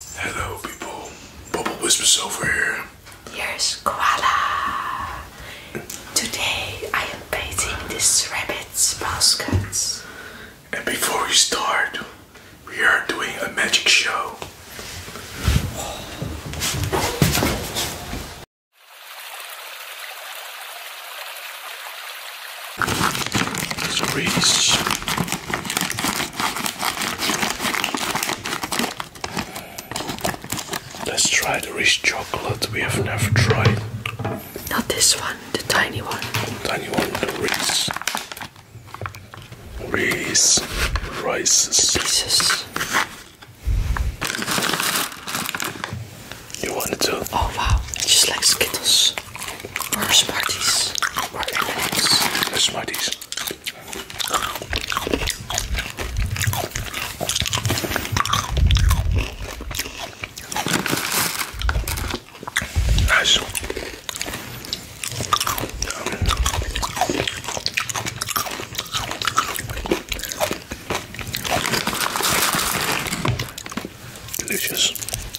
Hello people, Bubble Whispers over here. Here's Koala. Today I am painting this rabbit's basket. And before we start, we are doing a magic show. It's Let's try the rich chocolate we have never tried. Not this one, the tiny one. Tiny one, the Reese. rice, rice Pieces. You want it too? Oh wow, just like Skittles or Smarties or M&M's. The Smarties. Nice. Delicious.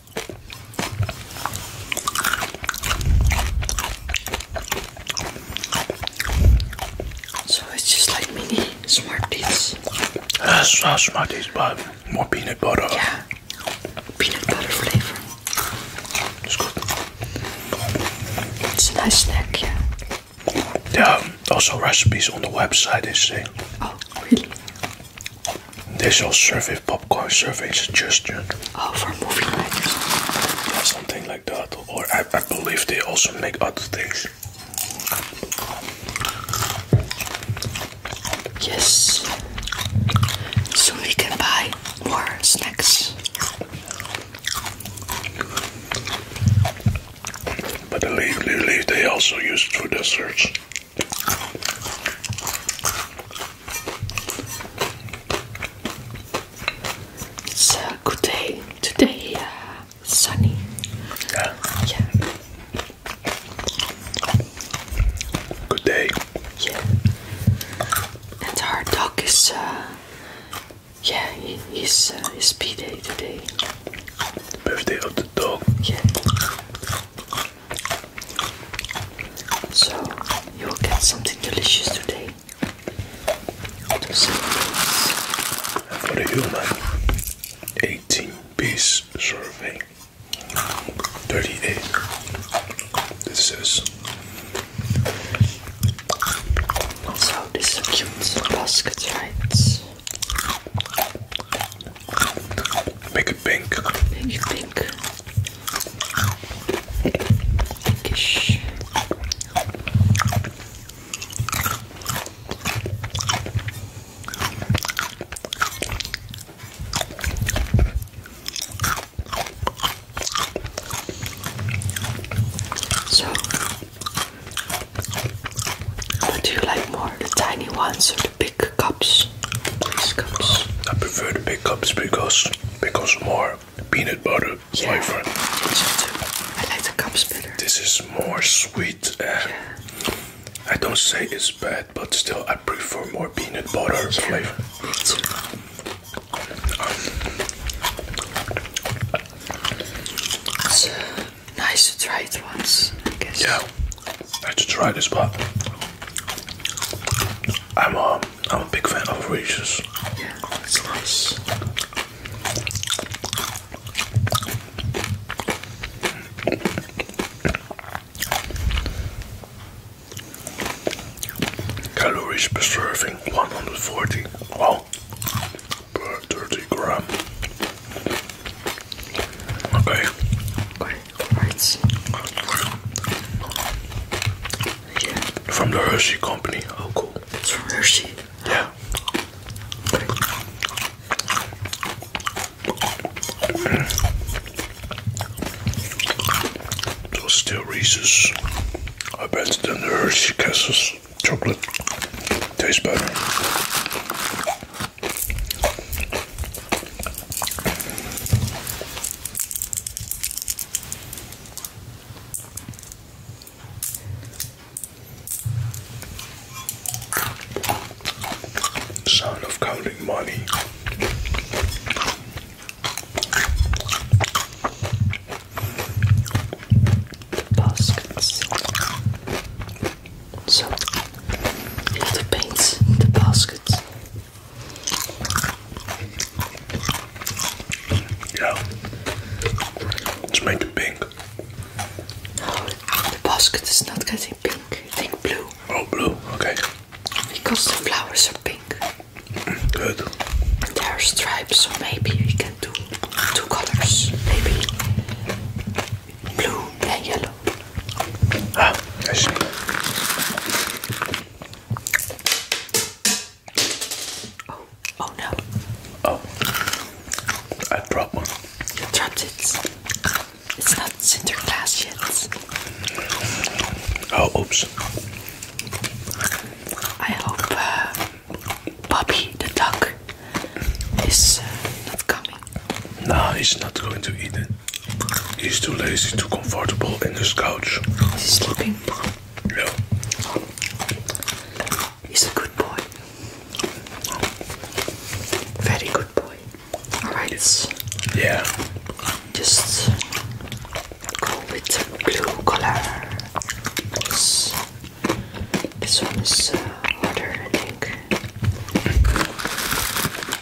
So it's just like mini Smarties. That's uh, not Smarties, but more peanut butter. Yeah, peanut butter flavor. It's good. It's a nice snack, yeah. There are also recipes on the website, they say. Oh, really? There's your survey popcorn survey suggestion. Oh, for movie night. or something like that. Or I, I believe they also make other things. Yes. so we can buy more snacks. But I believe they also use it for desserts. It's a good day today, uh, sunny. Yeah. Good day. Yeah. And our dog is, uh, yeah, he, his P day today. Birthday of the dog. Yeah. So you will get something delicious today. For the human, 18 piece survey, 38. This is. So this is a cute basket, right? Make it pink. pink. So, what do you like more, the tiny ones or the big? big cups. Nice cups. I prefer the big cups because because more peanut butter yeah. flavor. I like the cups better. This is more sweet. And I don't say it's bad, but still I prefer more peanut butter flavor. Um, nice to try it once, Yeah. I should try this, but I'm a, um, I'm a big fan of Reese's. Yeah, it's Calories per serving 140. Wow. Per 30 gram. Okay. Okay. Right. From the Hershey company. Oh, cool. It's from Hershey. Yeah. Those still Reese's. I bet than the Hershey Kisses chocolate tastes better. Sound of counting money. Baskets. So, the paints in the baskets. Yeah. Let's make it pink. No, the basket is not getting pink. I think blue. Oh, blue. Okay. Because the flowers are pink. Good. there are stripes, so maybe we can do two colors. Maybe blue and yellow. Ah, that's me. Oh, oh no. Oh, I dropped one. You dropped it. It's not Sinterklaas yet. Oh, oops. I hope uh, Bobby the duck is uh, not coming. No, he's not going to eat it. He's too lazy, too comfortable in his couch. He's looking. No, He's a good boy. Very good boy. Alright. Yeah. Just go with blue color. This, one is uh, harder, I think.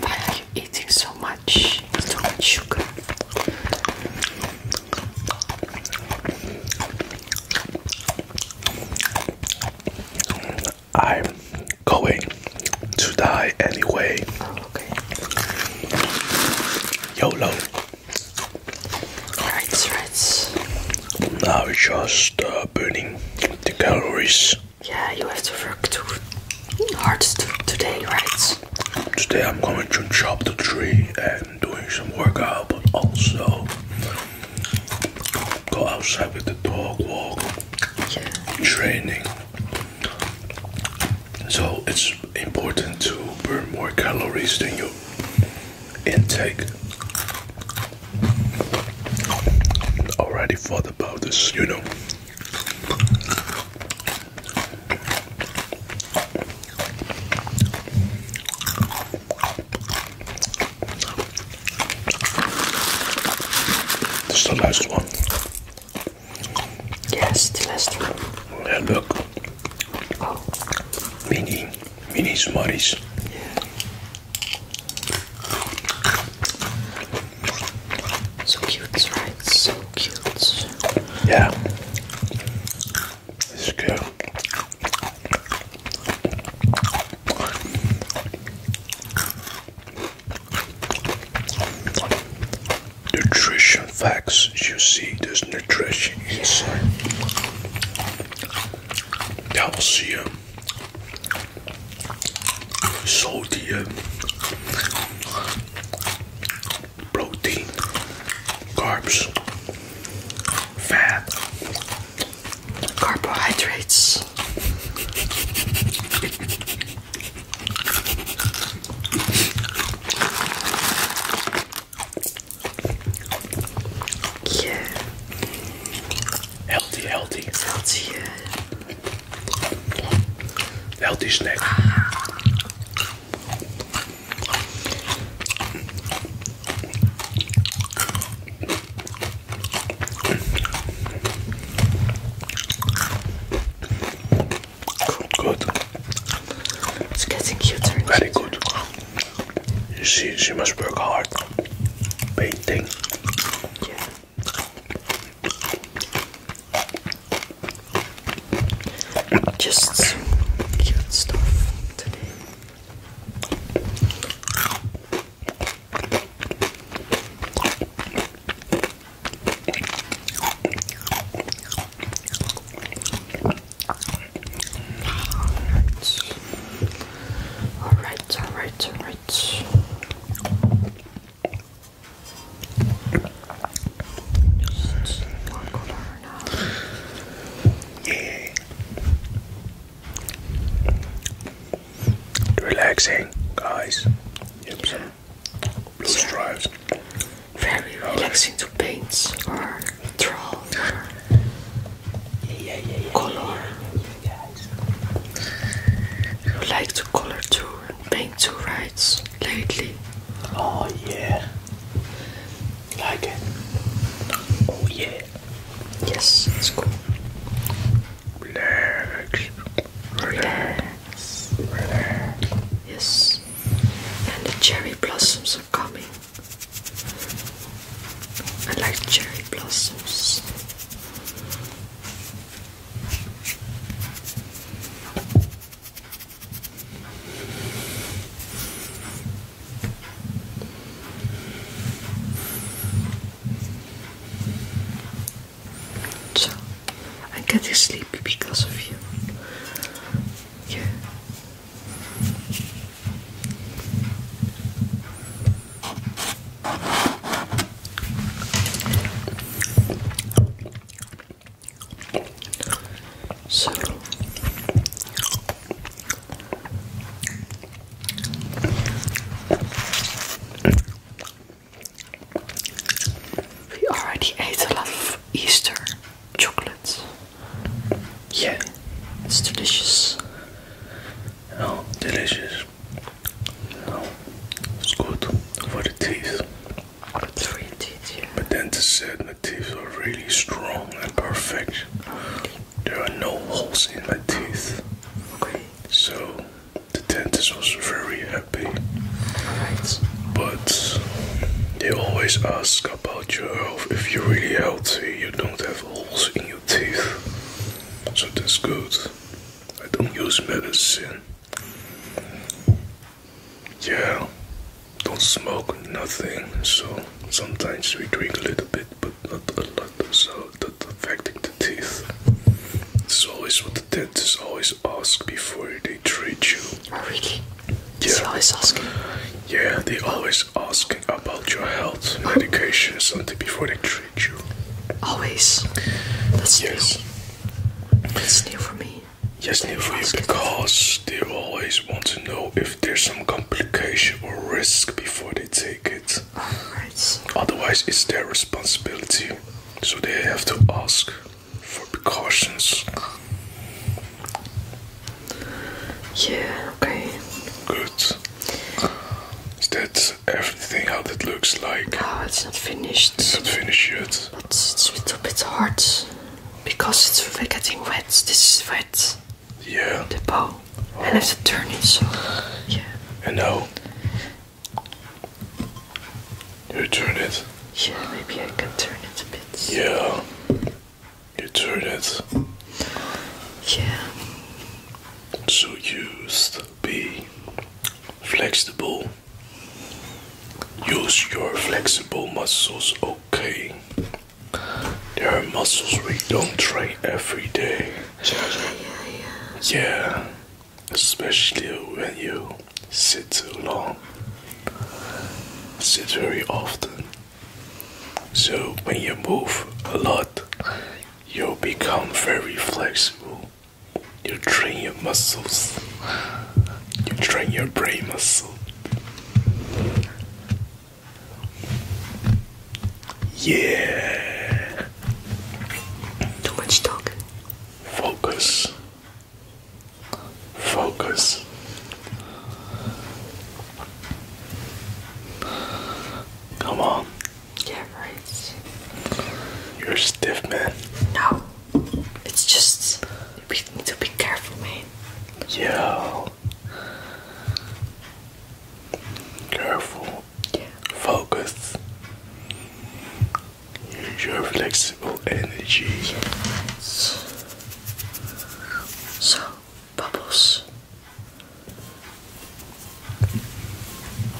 Why are you eating so much? So much sugar. I'm going to die anyway. Oh, YOLO. Alright, right. Now it's just uh, burning the calories. Yeah, you have to work too hard today, right? Today I'm going to chop the tree and doing some workout, but also go outside with the dog walk, training. So it's important to burn more calories than you intake. Already thought about this, you know. This is the last one. Yes, the last one. Yeah, look. Oh. Mini mini Smarties. Yeah. So cute, right? So cute. Yeah. This good. Nutrition facts, you see, there's nutrition inside that will see you. So the protein, carbs, fat, carbohydrates. Yeah. Healthy, healthy. healthy, Healthy snack. Good. It's getting cuter. Very good. You see, she must work hard. Painting. Just some cute stuff all right, all right, all right. Relaxing, guys. Yep, some blue stripes. Very relaxing to paint Draw color. You like to color too and paint too, right? Lately. Oh yeah. Like it. Oh yeah. Yes, it's cool. Relax. Relax. Relax. Yes. And the cherry blossoms are coming. I like cherry blossoms. So, i get getting sleepy because of you. Yeah, so we already ate a lot of Easter chocolate. Yeah, it's delicious. Oh, delicious. Oh, it's good for the teeth. For your teeth, yeah. But said my teeth are really strong and perfect. There are no holes in my teeth. Okay. So the dentist was very happy. Alright. But they always ask about your health. If you're really healthy, you don't have holes in your teeth. So that's good. I don't use medicine. Yeah, don't smoke nothing. So sometimes we drink a little bit, but not a lot. So that's affecting the teeth. It's always what the dentists always ask before they treat you. Oh, really? Yeah. always asking. Yeah, they always asking about your health, medication, something before they treat you. Always. That's yes. new. That's new for me. Yes, new for you because they always want to know if there's some complication or risk before they take it. Otherwise, it's their responsibility, so they have to ask for precautions. Yeah, okay. Good. Is that everything how that looks like? No, it's not finished. It's not finished yet. But it's a little bit hard because it's getting wet. This is wet. Yeah. The bow. And it's have to so. Yeah. And now? You turn it? Yeah, maybe I can turn it a bit. Yeah. You heard it. Yeah. So you used be flexible. Use your flexible muscles, okay? There are muscles we don't train every day. yeah. especially when you sit too long, sit very often. So when you move a lot, you become very flexible. You train your muscles. You train your brain muscle. Yeah. Too much talk. Focus focus. Come on. Yeah, right. You're stiff, man. No, it's just you need to be careful, man. Yeah. Careful. Focus. Use your flexible energy. So, Bubbles,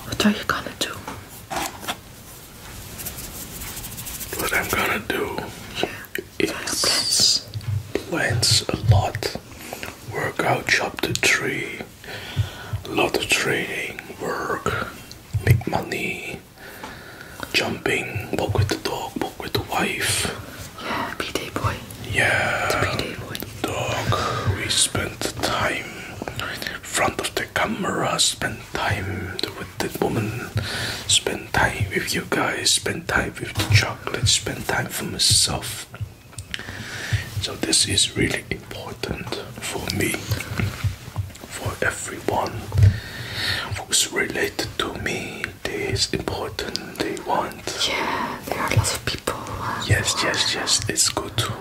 what are you gonna do? What I'm gonna do yeah. is plants a lot, work out, chop the tree, a lot of training, work, make money, jumping, walk with the dog, walk with the wife. Yeah, PD boy. Yeah. The PD boy. Dog. We spent time in front of the camera, spent time with the woman, spent time with you guys, spent time with the chocolate, spent time for myself. So this is really important for me for everyone who's related to me. This important. They want. Yeah, there are lots of people. Uh, yes, yes, yes. It's good to.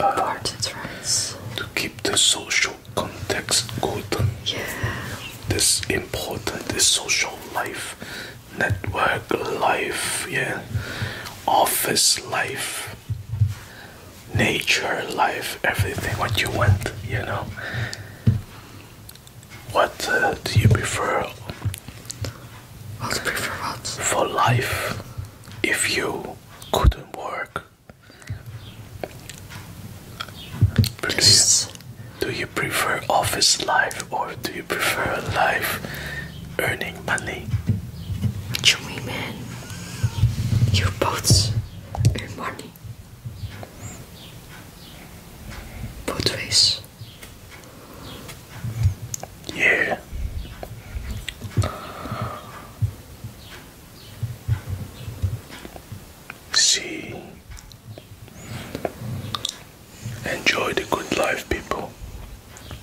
Uh, To keep the social context good. Yeah. This important. This social life, network life. Yeah. Office life, nature life, everything what you want, you know. What uh, do you prefer? What prefer what? For life, if you couldn't work, Just... do, you, prefer office life or do you prefer life earning money? What you mean, You both earn money. Boat face. Yeah. See. Enjoy the good life, people.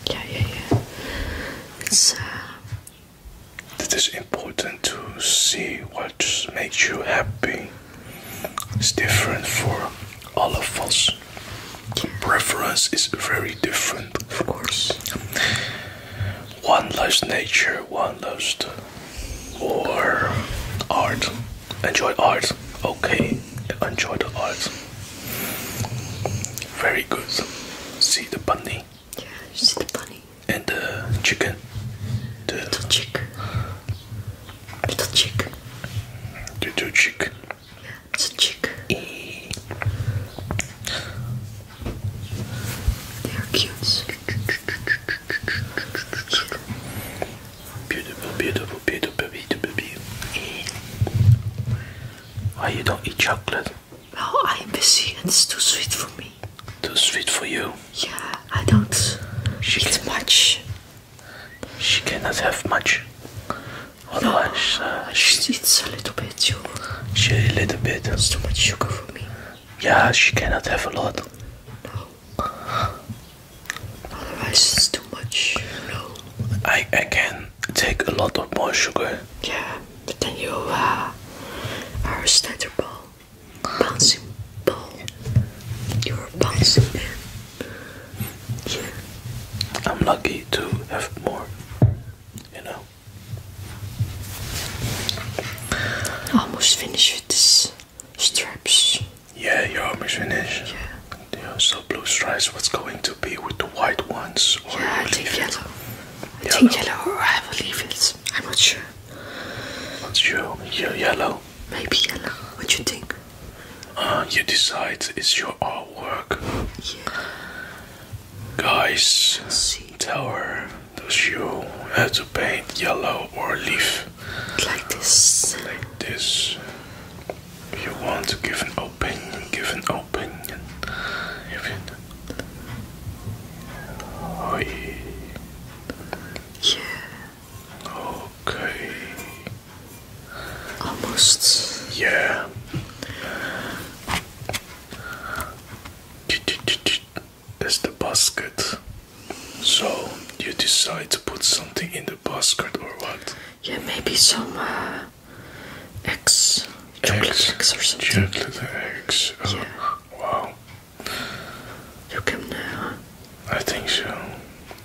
Yeah, yeah, yeah. It's uh, it is important to see what makes you happy. It's different for all of us. Preference is very different, of course. One loves nature, one loves the art. Enjoy art, okay. Enjoy the art. Very good. See the bunny. Yeah, you see the bunny. And the chicken. The little chick. Little chick. Little chick. Yeah, it's a chick. E they are cute. Beautiful, beautiful, beautiful, beautiful, beautiful. Why you don't eat chocolate? Well, oh, I am busy and it's too sweet for me. Too sweet for you. Yeah, I don't. She eats much. She cannot have much. Otherwise, uh, she eats a little bit. Too. She a little bit. It's too much sugar for me. Yeah, she cannot have a lot. No. Otherwise, it's too much. No. I I can take a lot of more sugar. Yeah, but then you uh, are a standard Bouncing ball. You're bouncing man. Yeah. I'm lucky to have more. You know. Almost finished with this straps. Yeah, you're almost finished. Yeah. so blue stripes, what's going to be with the white ones? Or yeah, I think yellow. I yellow. or I will leave it. I'm not sure. What's your, your yellow? Maybe yellow. What you think? Uh, you decide. It's your artwork. Yeah. Guys, See. tell her does you have to paint yellow or leaf? Like this. Like this. you want to give an opinion, give an opinion. Oi. Yeah. Okay. Almost. Yeah. That's the basket. So you decide to put something in the basket or what? Yeah, maybe some uh, eggs, chocolate eggs, or something. Chocolate eggs. Wow. You can, uh, I think so.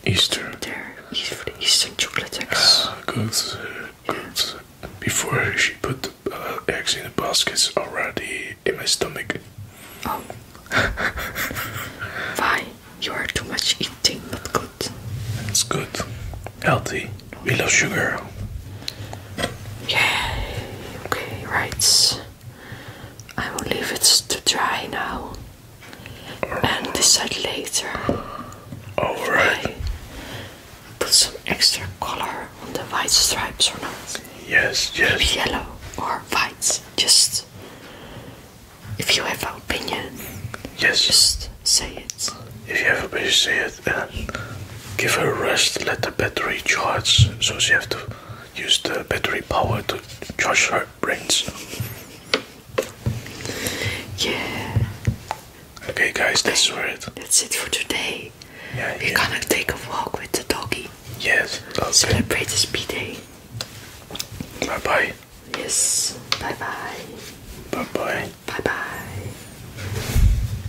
Easter. There, Easter, chocolate eggs. Uh, ah, good, good. Before she put the uh, eggs in the baskets already in my stomach. Oh. Why? You are too much eating, not good. It's good. Healthy. We love sugar. Yay, okay, right. I will leave it to dry now and decide later. Alright. put some extra color on the white stripes or not. Yes, yes. yellow or white. Just if you have an opinion. Yes. Just say it. If you have a opinion, say it. And give her rest, let the battery charge. So she have to use the battery power to charge her brains. Yeah. Okay, guys, that's it. That's it for today. Yeah, We're gonna take a walk with the doggy. Yes. Okay. Celebrate the speed day. Bye bye. Yes. Bye bye. Bye bye. Bye bye.